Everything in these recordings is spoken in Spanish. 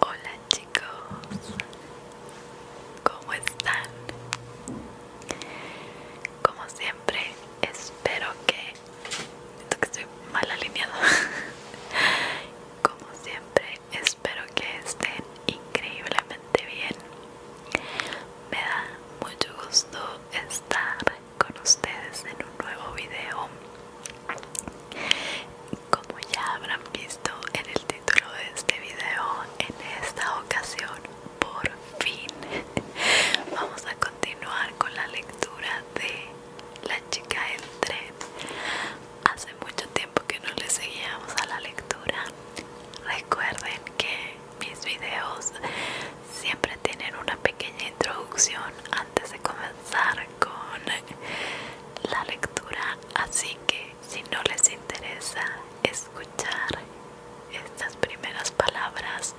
Hola chicos, ¿cómo están? Como siempre, espero que... que estoy mal alineado? Como siempre, espero que estén increíblemente bien me da mucho gusto estar con ustedes en un nuevo video como ya habrán visto en el título de este video en esta ocasión por fin vamos a continuar con la lectura de la chica entre. tren hace mucho tiempo que no le seguíamos a la lectura recuerden que mis videos siempre tienen una pequeña introducción antes de comenzar con la lectura así que si no les interesa escuchar estas primeras palabras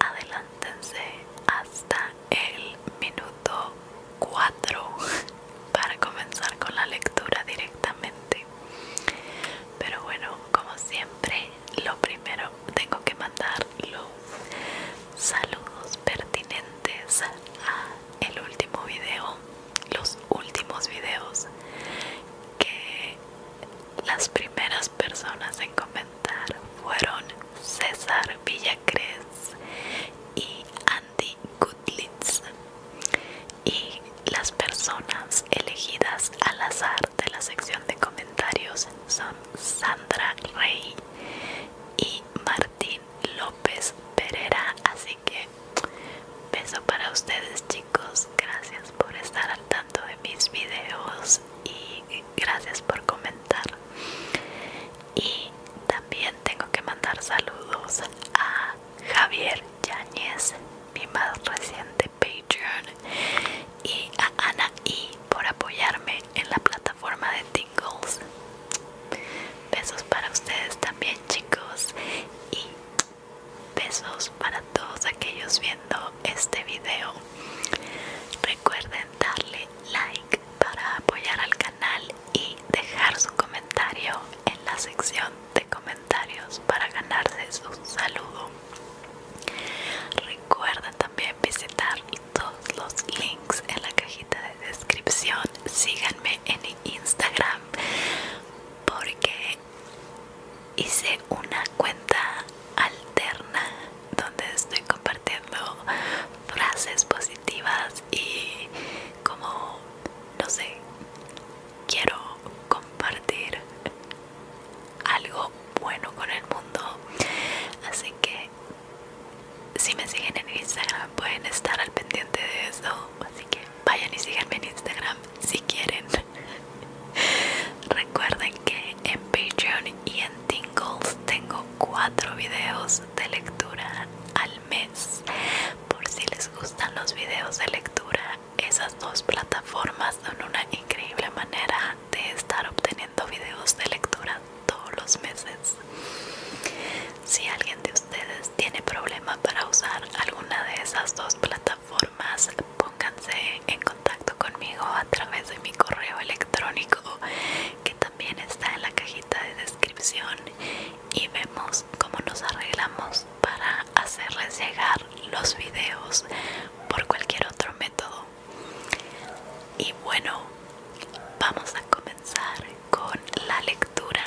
adelántense hasta el minuto 4 para comenzar con la lectura directamente. Pero bueno, como siempre, lo primero tengo que mandar los saludos pertinentes a el último video, los últimos videos que las primeras personas en comentar fueron César Villacrés y Andy y las personas elegidas al azar de la sección de comentarios son Sandra Rey y Martín López Pereira así que beso para ustedes chicos gracias por estar al tanto de mis videos y gracias por comentar y también tengo que mandar saludos a Javier Yáñez, mi más reciente Patreon, y a Ana I por apoyarme en la plataforma de Tingles. Besos para ustedes también, chicos, y besos para todos aquellos viendo este video. Recuerden darle like para apoyar al canal y dejar su comentario en la sección de comentarios para ganarse su saludo. Recuerda también visitar todos los links en la cajita de descripción. Síganme en Instagram porque hice una cuenta alterna donde estoy compartiendo frases positivas y como no sé, quiero compartir algo bueno con el mundo. Así que si me siguen en Instagram pueden estar al pendiente de eso. Así que vayan y síganme en Instagram si quieren. Recuerden que en Patreon y en Tingles tengo cuatro videos de lectura al mes. Por si les gustan los videos de lectura, esas dos plataformas son una increíble manera de estar obteniendo videos de lectura todos los meses. Si alguien de ustedes tiene problemas para usar alguna de esas dos plataformas, pónganse en contacto conmigo a través de mi correo electrónico que también está en la cajita de descripción y vemos cómo nos arreglamos para hacerles llegar los videos por cualquier otro método. Y bueno, vamos a comenzar con la lectura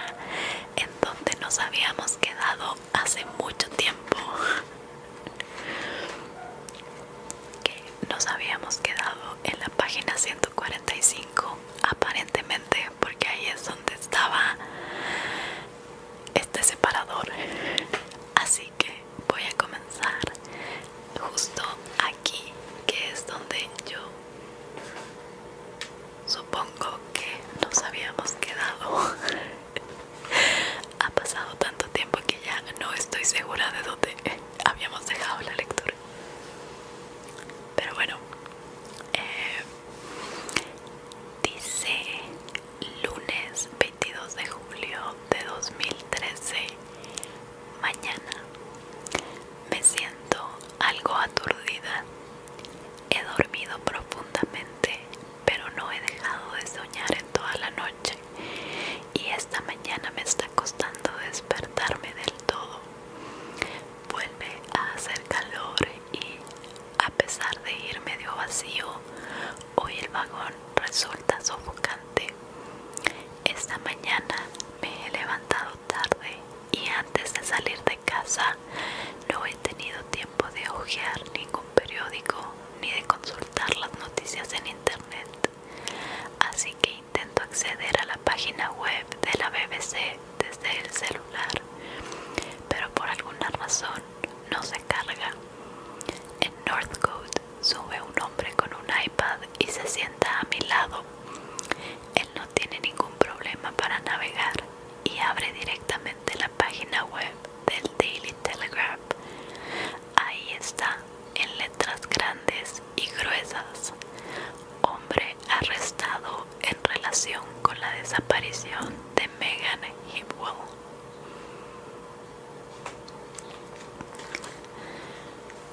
en donde nos habíamos quedado hace mucho tiempo. Que nos habíamos quedado en la página 100 45 aparentemente porque ahí es donde estaba este separador así que voy a comenzar justo aquí que es donde yo supongo que nos habíamos quedado ha pasado tanto tiempo que ya no estoy segura de dónde habíamos dejado la lectura pero bueno eh, Dice lunes 22 de julio de 2013. Mañana me siento algo aturdida. He dormido profundamente, pero no he dejado de soñar en toda la noche. Y esta mañana me está costando despertarme del todo vuelve a hacer calor y a pesar de ir medio vacío, hoy el vagón resulta sofocante. Esta mañana me he levantado tarde y antes de salir de casa no he tenido tiempo de hojear ningún periódico ni de consultar las noticias en internet. Así que intento acceder a la página web de la BBC desde el celular, pero por alguna razón no se carga. En Northcote sube un hombre con un iPad y se sienta a mi lado. Él no tiene ningún problema para navegar y abre directamente la página web del Daily Telegraph. Ahí está, en letras grandes y gruesas, hombre arrestado en relación con la desaparición de Megan Hipwell.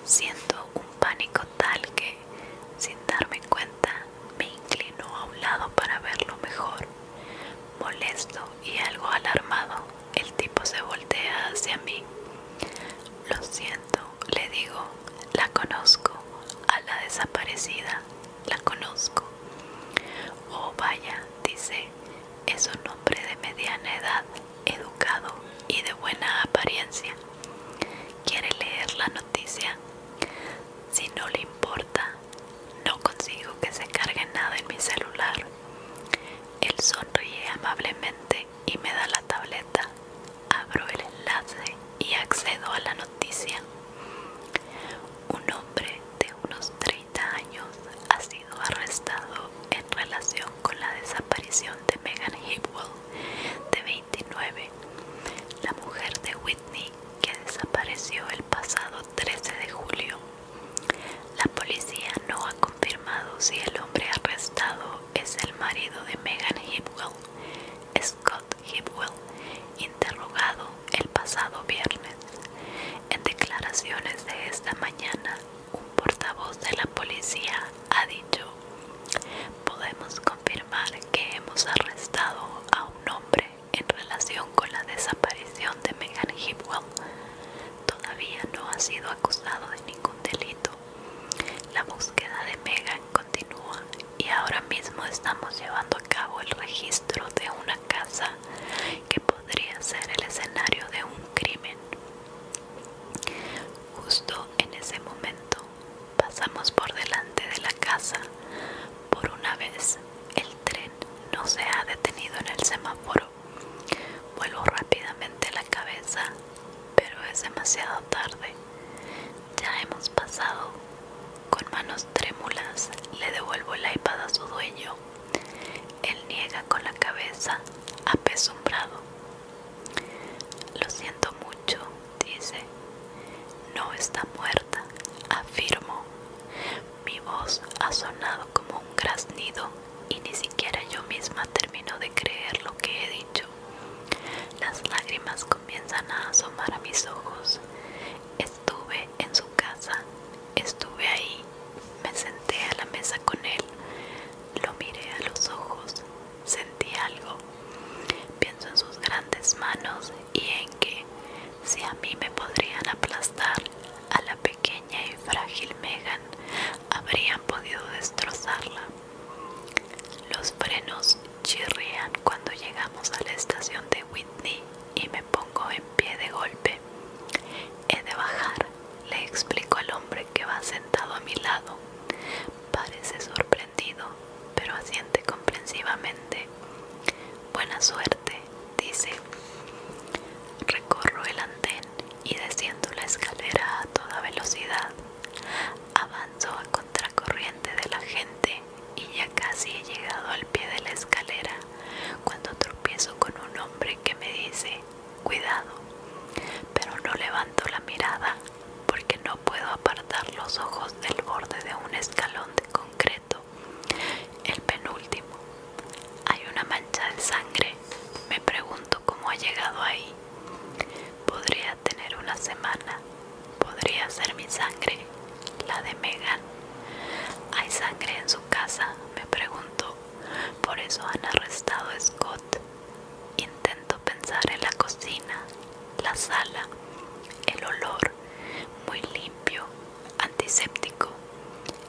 Siento un pánico tal que, sin darme cuenta, me inclino a un lado para verlo mejor. Molesto y algo alarmado, el tipo se voltea hacia mí. Lo siento, le digo, la conozco, a la desaparecida, la conozco. Oh, vaya, dice, es un hombre de mediana edad, educado y de buena apariencia. ¿Quiere leer la noticia? Si no le importa, no consigo que se cargue nada en mi celular. Él sonríe amablemente y me da la tableta Abro el enlace y accedo a la noticia. Un hombre de unos 30 años ha sido arrestado en relación con la desaparición de Megan Hipwell, de 29, la mujer de Whitney que desapareció el pasado 13 de julio. La policía no ha confirmado si el hombre arrestado es el marido de Megan Hipwell, Scott Hipwell, interrogado el pasado viernes. En declaraciones de esta mañana, un portavoz de la policía ha dicho, podemos confirmar que hemos arrestado a un hombre en relación con la desaparición de Megan Hipwell. Todavía no ha sido acusado de ningún delito. La búsqueda de Megan continúa y ahora mismo estamos llevando a cabo el registro de una casa que podría ser el escenario de un crimen. Justo en ese momento pasamos por delante de la casa. Por una vez el tren no se ha detenido en el semáforo. Vuelvo rápidamente la cabeza, pero es demasiado tarde. Ya hemos pasado. Con manos trémulas le devuelvo el iPad a su dueño. Él niega con la cabeza, apesumbrado. Lo siento mucho, dice. No está muerta, afirmo. Mi voz ha sonado como un graznido y ni siquiera yo misma termino de creer lo que he dicho. Las lágrimas comienzan a asomar a mis ojos. Estuve en su casa, estuve ahí, me senté a la mesa con él, lo miré a los ojos, sentí algo. Pienso en sus grandes manos y en que, si a mí me podrían aplastar, a la pequeña y frágil Megan habrían podido destrozarla. Los frenos Chirrian cuando llegamos a la estación de Whitney y me pongo en pie de golpe. He de bajar, le explico al hombre que va sentado a mi lado. Parece sorprendido, pero asiente comprensivamente. Buena suerte, dice. Recorro el andén y desciendo la escalera a toda velocidad. Avanzo a contracorriente de la gente y ya casi he llegado al pie de la escalera cuando tropiezo con un hombre que me dice, cuidado, pero no levanto la mirada porque no puedo apartar los ojos del borde de un escalón de concreto, el penúltimo. Hay una mancha de sangre, me pregunto cómo ha llegado ahí. Podría tener una semana. Podría ser mi sangre, la de Megan. ¿Hay sangre en su casa? Me pregunto. Por eso han arrestado a Scott. Intento pensar en la cocina, la sala, el olor, muy limpio, antiséptico.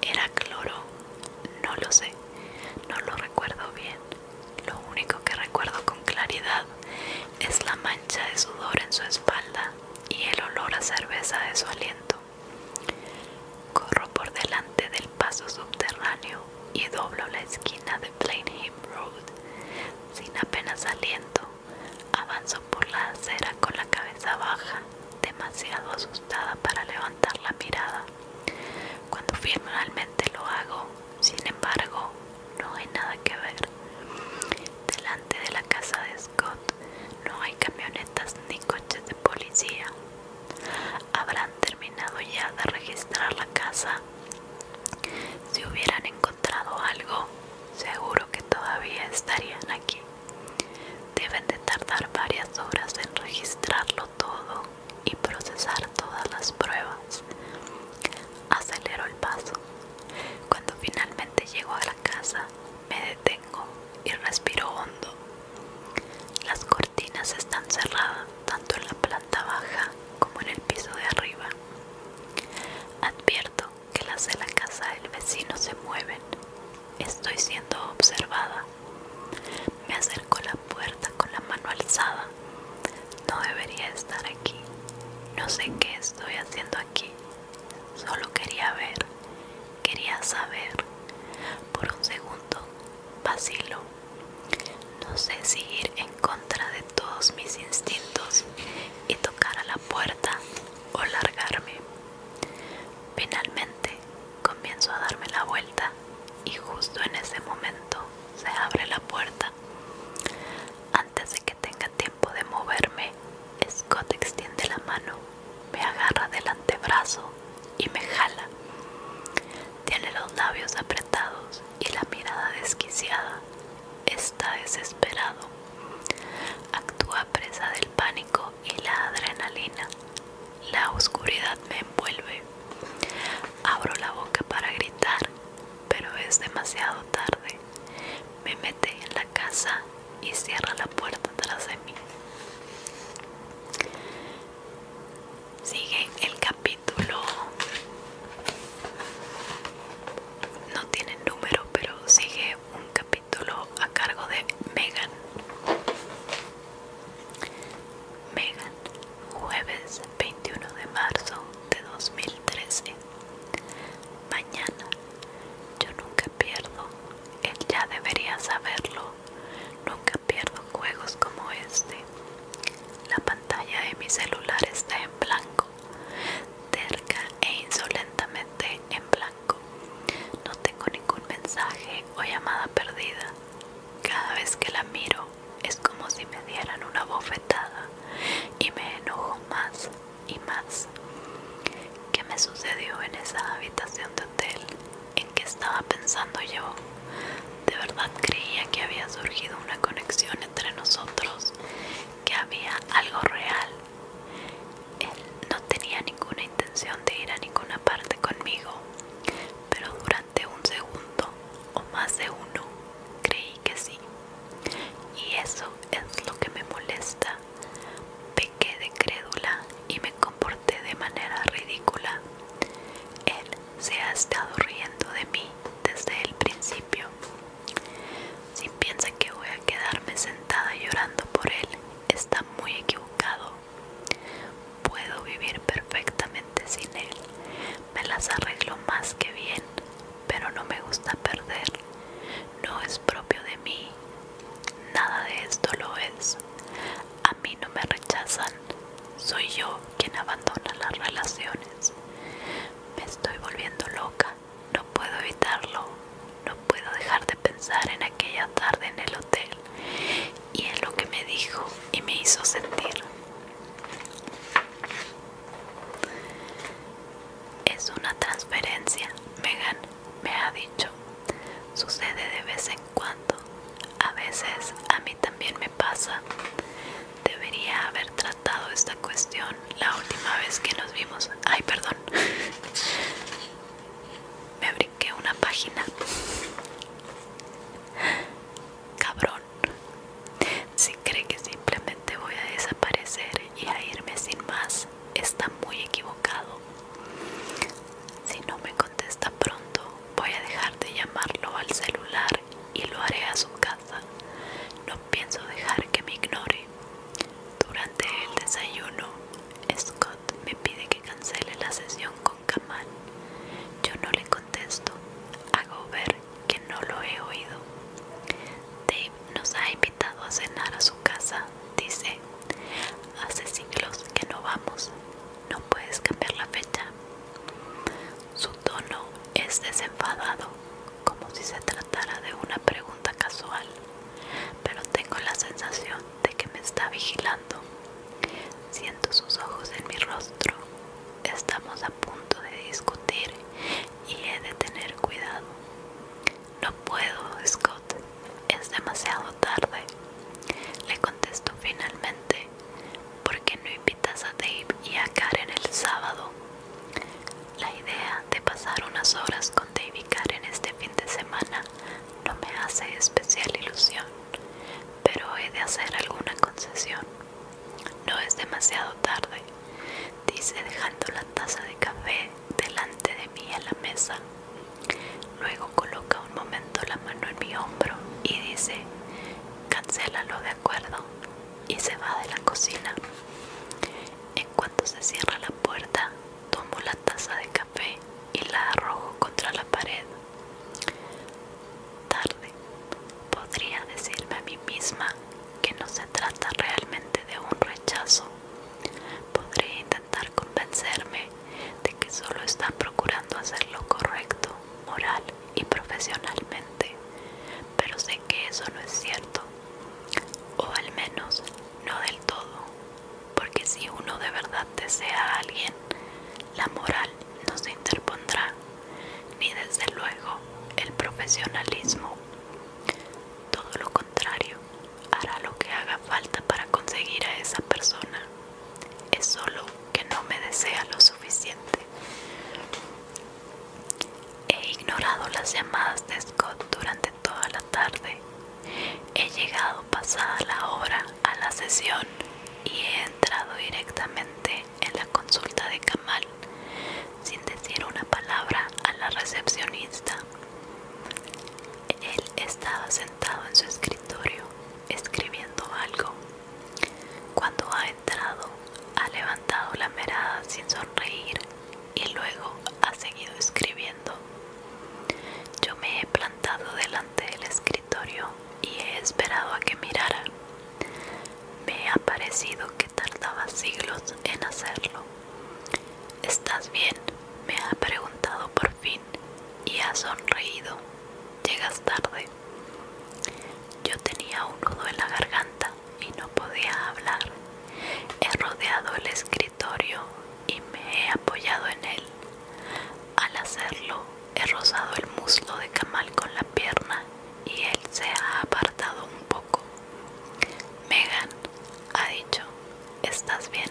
¿Era cloro? No lo sé, no lo recuerdo bien. Lo único que recuerdo con claridad es la mancha de sudor en su espalda y el olor a cerveza de su aliento. Corro por delante del paso subterráneo y doblo la esquina de Plainview Road. Sin apenas aliento, avanzo por la acera con la cabeza baja, demasiado asustada para levantar la mirada. Cuando finalmente lo hago, sin embargo, no hay nada que ver. Delante de la casa de Scott no hay camionetas ni coches de policía. Habrán terminado ya de registrar la casa. Si hubieran encontrado algo, seguro que todavía estarían aquí. Deben de tardar varias horas en registrarlo todo y procesar todas las pruebas acelero el paso. Cuando finalmente llego a la casa, me detengo y respiro hondo. Las cortinas están cerradas tanto en la planta baja como en el piso de arriba. Advierto que las de la casa del vecino se mueven. Estoy siendo observada. Me acerco a la puerta con la mano alzada. No debería estar aquí. No sé qué estoy haciendo aquí Solo quería ver, quería saber. Por un segundo vacilo No sé si ir en contra de todos mis instintos y tocar a la puerta o largarme. Finalmente comienzo a darme la vuelta y justo en ese momento se abre la puerta. Antes de que tenga tiempo moverme, Scott extiende la mano, me agarra del antebrazo y me jala. Tiene los labios apretados y la mirada desquiciada. Está desesperado. Actúa presa del pánico y la adrenalina. La oscuridad me envuelve. Abro la boca para gritar, pero es demasiado tarde. Me mete en la casa y cierra la puerta tras de mí. Sigue el capítulo. No tiene número, pero sigue un capítulo a cargo de Megan. Megan, jueves 21 de marzo de 2013. Mañana, yo nunca pierdo, él ya debería saberlo, nunca pierdo juegos como este. La pantalla de mi celular está en blanco, terca e insolentamente en blanco. No tengo ningún mensaje o llamada perdida. Cada vez que la miro es como si me dieran una bofetada y me enojo más y más. ¿Qué me sucedió en esa habitación de hotel? ¿En qué estaba pensando yo? De verdad creía que había surgido una conexión entre nosotros, que había algo real. Él no tenía ninguna intención de ir a ninguna parte conmigo, pero durante un segundo o más de uno creí que sí. Y eso es lo que me molesta. Pequé de crédula y me comporté de manera ridícula. Él se ha estado riendo de mí desde el principio. Si piensa que voy a quedarme sentada llorando por él, está muy equivocado. Puedo vivir perfectamente sin él. Me las arreglo más que bien pero no me gusta perder. No es propio de mí. Nada de esto lo es. A mí no me rechazan. Soy yo quien abandona las relaciones. Me estoy volviendo loca. No puedo evitarlo. No puedo dejar de pensar en aquella tarde en el hotel y en lo que me dijo y me hizo sentir. Es una transferencia, Megan me ha dicho. Sucede de vez en cuando. A veces a mí también me pasa. Debería haber tratado esta cuestión la última vez que nos vimos. Ay, perdón. Me brinqué una página. Cabrón. Si cree que simplemente voy a desaparecer aparecer y a irme sin más está muy equivocado. Si no me contesta pronto, voy a dejar de llamarlo al celular y lo haré a su casa. No pienso dejar que me ignore. Durante el desayuno, Scott me pide que cancele la sesión con Kamal. Yo no le contesto. Hago ver que no lo he oído nos ha invitado a cenar a su casa, dice. Hace siglos que no vamos. No puedes cambiar la fecha. Su tono es desenfadado, como si se tratara de una pregunta casual, pero tengo la sensación de que me está vigilando. Siento sus ojos en mi rostro. Estamos a punto de discutir y he de tener cuidado. No puedo, Scott. Es demasiado tarde. Le contesto finalmente. ¿Por qué no invitas a Dave y a Karen el sábado? La idea de pasar unas horas con Dave y Karen este fin de semana no me hace especial ilusión, pero he de hacer alguna concesión. No es demasiado tarde dice dejando la taza de café delante de mí a la mesa. Luego coloca un momento la mano en mi hombro y dice, cancélalo de acuerdo, y se va de la cocina. En cuanto se cierra la puerta, tomo la taza de café y la arrojo contra la pared. Tarde, podría decirme a mí misma que no se trata realmente de un rechazo, Podré intentar convencerme de que solo están procurando hacer lo correcto, moral y profesionalmente, pero sé que eso no es cierto, o al menos no del todo, porque si uno de verdad desea a alguien, la moral no se interpondrá, ni desde luego el profesionalismo. Todo lo contrario, hará lo que haga falta para conseguir a esa persona. Es solo que no me desea lo suficiente. He ignorado las llamadas de Scott durante toda la tarde. He llegado pasada la hora a la sesión y he entrado directamente en la consulta de Kamal sin decir una palabra a la recepcionista. Él estaba sentado en su escritorio escribiendo algo. Cuando ha entrado, ha levantado la mirada sin sonreír y luego ha seguido escribiendo. Yo me he plantado delante del escritorio y he esperado a que mirara. Me ha parecido que tardaba siglos en hacerlo. ¿Estás bien? Me ha preguntado por fin y ha sonreído. Llegas tarde. Yo tenía un nudo en la garganta y no podía hablar. He rodeado el escritorio y me he apoyado en él. Al hacerlo, he rozado el muslo de Camal con la pierna y él se ha apartado un poco. Megan, ha dicho, ¿estás bien?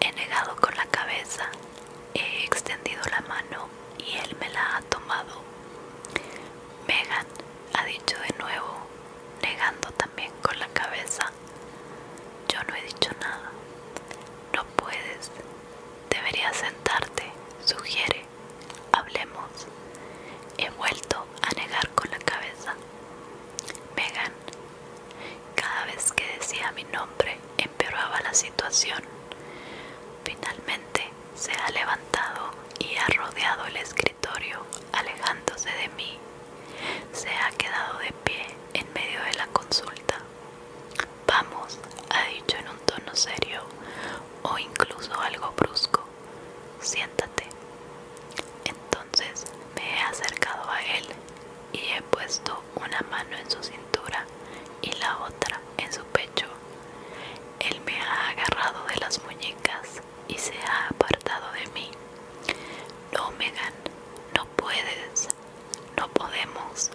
He negado con la cabeza, he extendido la mano y él me la ha tomado. Megan, ha dicho de nuevo, negando también con la cabeza. Yo no he dicho nada. No puedes. Deberías sentarte, sugiere. Hablemos. He vuelto a negar con la cabeza. Megan. Cada vez que decía mi nombre empeoraba la situación. Finalmente se ha levantado y ha rodeado el escritorio, alejándose de mí. Se ha quedado de pie en medio de la consulta. Vamos, ha dicho en un tono serio o incluso algo brusco siéntate. Entonces me he acercado a él y he puesto una mano en su cintura y la otra en su pecho. Él me ha agarrado de las muñecas y se ha apartado de mí. No, Megan, no puedes, no podemos.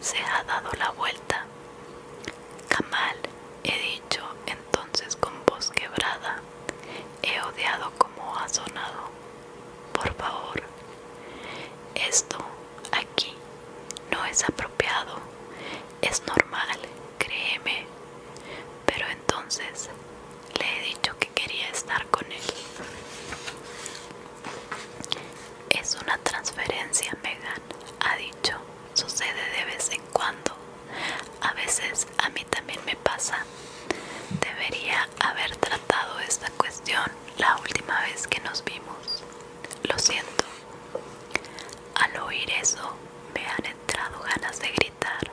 Se ha dado la vuelta. Kamal, he dicho entonces con voz quebrada, he odiado como ha sonado. Por favor, esto aquí no es apropiado, es normal, créeme. Pero entonces le he dicho que quería estar con él. Es una transferencia, Megan, ha dicho. Sucede de vez en cuando a veces a mí también me pasa. Debería haber tratado esta cuestión la última vez que nos vimos. Lo siento. Al oír eso, me han entrado ganas de gritar.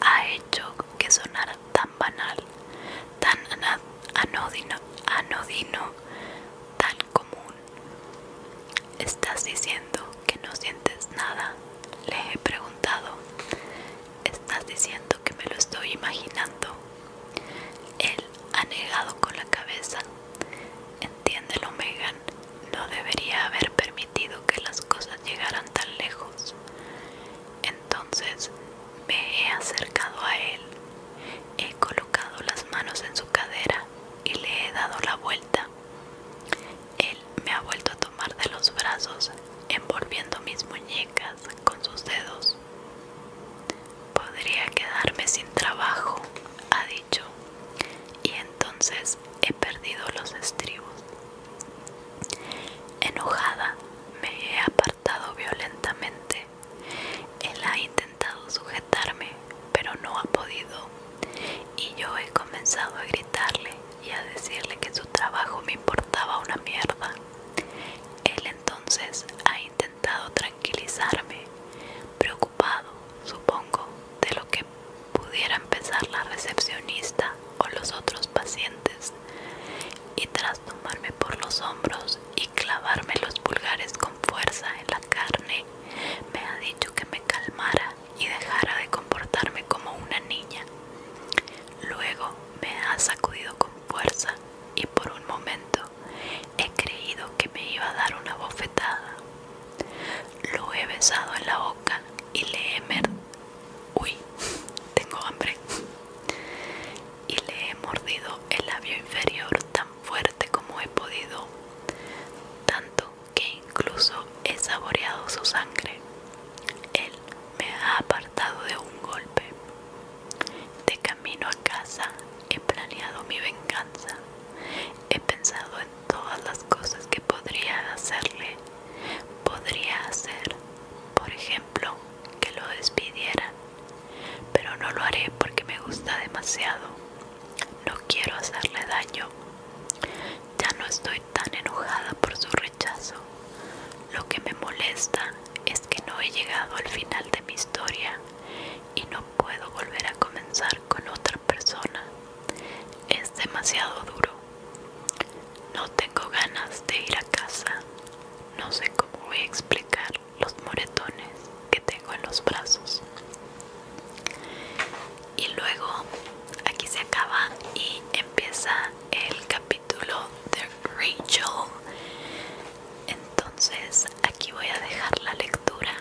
Ha hecho que sonara tan banal, tan anodino, anodino, tan común. Estás diciendo que no sientes nada? Le he preguntado. ¿Estás diciendo que me lo estoy imaginando? Él ha negado con la cabeza. Entiéndelo, Megan. No debería haber permitido que las cosas llegaran tan lejos. Entonces me he acercado a él. He colocado las manos en su cadera y le he dado la vuelta. Él me ha vuelto a tomar de los brazos, envolviendo mis muñecas con sus dedos. Podría quedarme sin trabajo, ha dicho, y entonces he perdido los estribos. Enojada, me he apartado violentamente. Él ha intentado sujetarme, pero no ha podido. Y yo he comenzado a gritarle y a decirle que su trabajo me importaba una mierda. Él entonces ha intentado tranquilizarme, preocupado, supongo, de lo que pudiera empezar la recepcionista o los otros pacientes, y tras tomarme por los hombros y clavarme los pulgares con fuerza en la carne, me ha dicho que me calmara y dejara de comportarme como una niña. Luego me ha sacudido con fuerza y por un momento he creído que me iba a dar una bofetada. Lo he besado en la boca y le he mer Uy, tengo hambre. Y le he mordido el labio inferior tan fuerte como he podido, tanto que incluso he saboreado su sangre. Él me ha apartado de un golpe. De camino a casa he planeado mi venganza. He pensado en todas las cosas que podría hacerle. Podría hacer, por ejemplo, que lo despidiera. Pero no lo haré porque me gusta demasiado. No quiero hacerle daño. Ya no estoy tan enojada por su rechazo. Lo que me molesta es que no he llegado al final de mi historia y no puedo volver a comenzar con otra persona. Es demasiado duro. No tengo ganas de ir a casa. No sé cómo voy a explicar los moretones que tengo en los brazos y luego aquí se acaba y empieza el capítulo de Rachel entonces aquí voy a dejar la lectura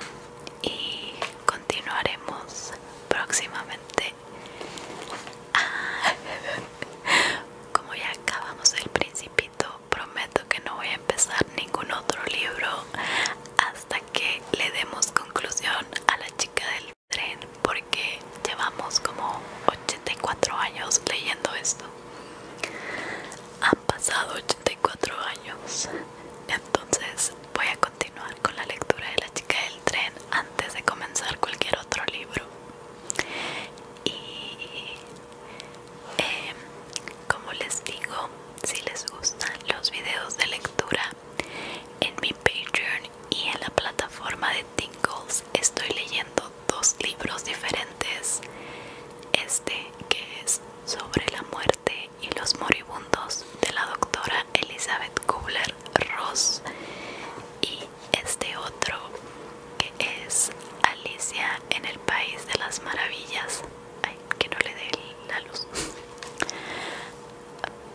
y continuaremos próximamente ah, como ya acabamos el principito prometo que no voy a empezar ningún otro libro hasta que le demos conclusión a la chica del tren porque llevamos como 84 años leyendo esto. Han pasado 84 años. Entonces voy a continuar con la lectura de la chica del tren antes de comenzar cualquier otro libro. Y em, como les digo, si les gustan los videos de lectura, en mi Patreon y en la plataforma de Tingles estoy leyendo dos libros diferentes. Este que es sobre la muerte y los moribundos de la doctora Elizabeth Kubler-Ross y este otro que es Alicia en el País de las Maravillas. Ay, que no le dé la luz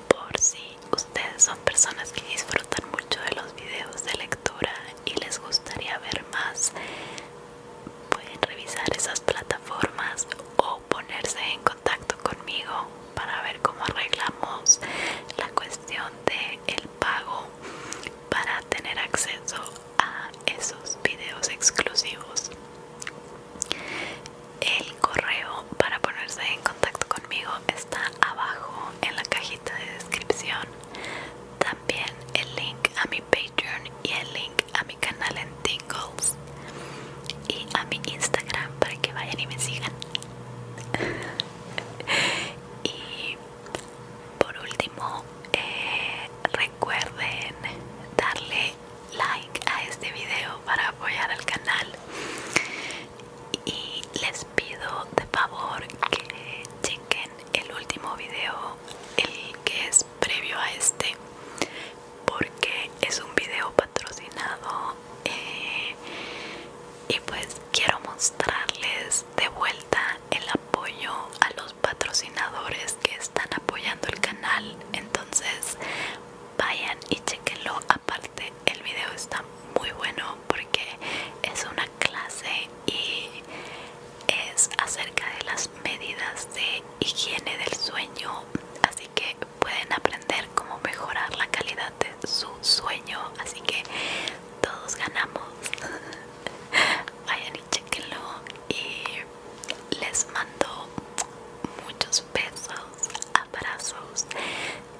por si ustedes son personas que disfrutan mucho de los videos de lectura y les gustaría ver más pueden revisar esas plataformas o ponerse en contacto conmigo para ver cómo arreglamos la cuestión de el pago para tener acceso a esos videos exclusivos el correo para ponerse en contacto conmigo está abajo en la cajita de descripción. También el link a mi Patreon y el link a mi canal en Tingles y a mi Instagram para que vayan y me sigan. y por último, eh, recuerden darle like a este video para apoyar al canal y les pido de favor que chequen el último video, el que es previo a este, porque es un video patrocinado eh, y pues quiero mostrarles de vuelta el apoyo a los patrocinadores que están apoyando el canal entonces vayan y chequenlo aparte el video está muy bueno porque es una clase y es acerca de las medidas de higiene del sueño así que pueden aprender cómo mejorar la calidad de su sueño así que todos ganamos vayan y chequenlo y les mando muchos besos abrazos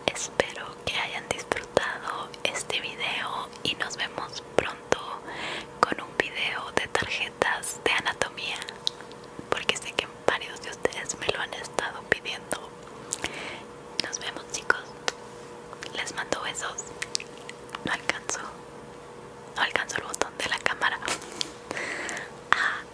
espero que hayan disfrutado este video y nos vemos pronto con un video de tarjetas de anatomía porque sé que varios de ustedes me lo han estado pidiendo nos vemos chicos les mando besos no alcanzo no alcanzo el botón de la cámara ah.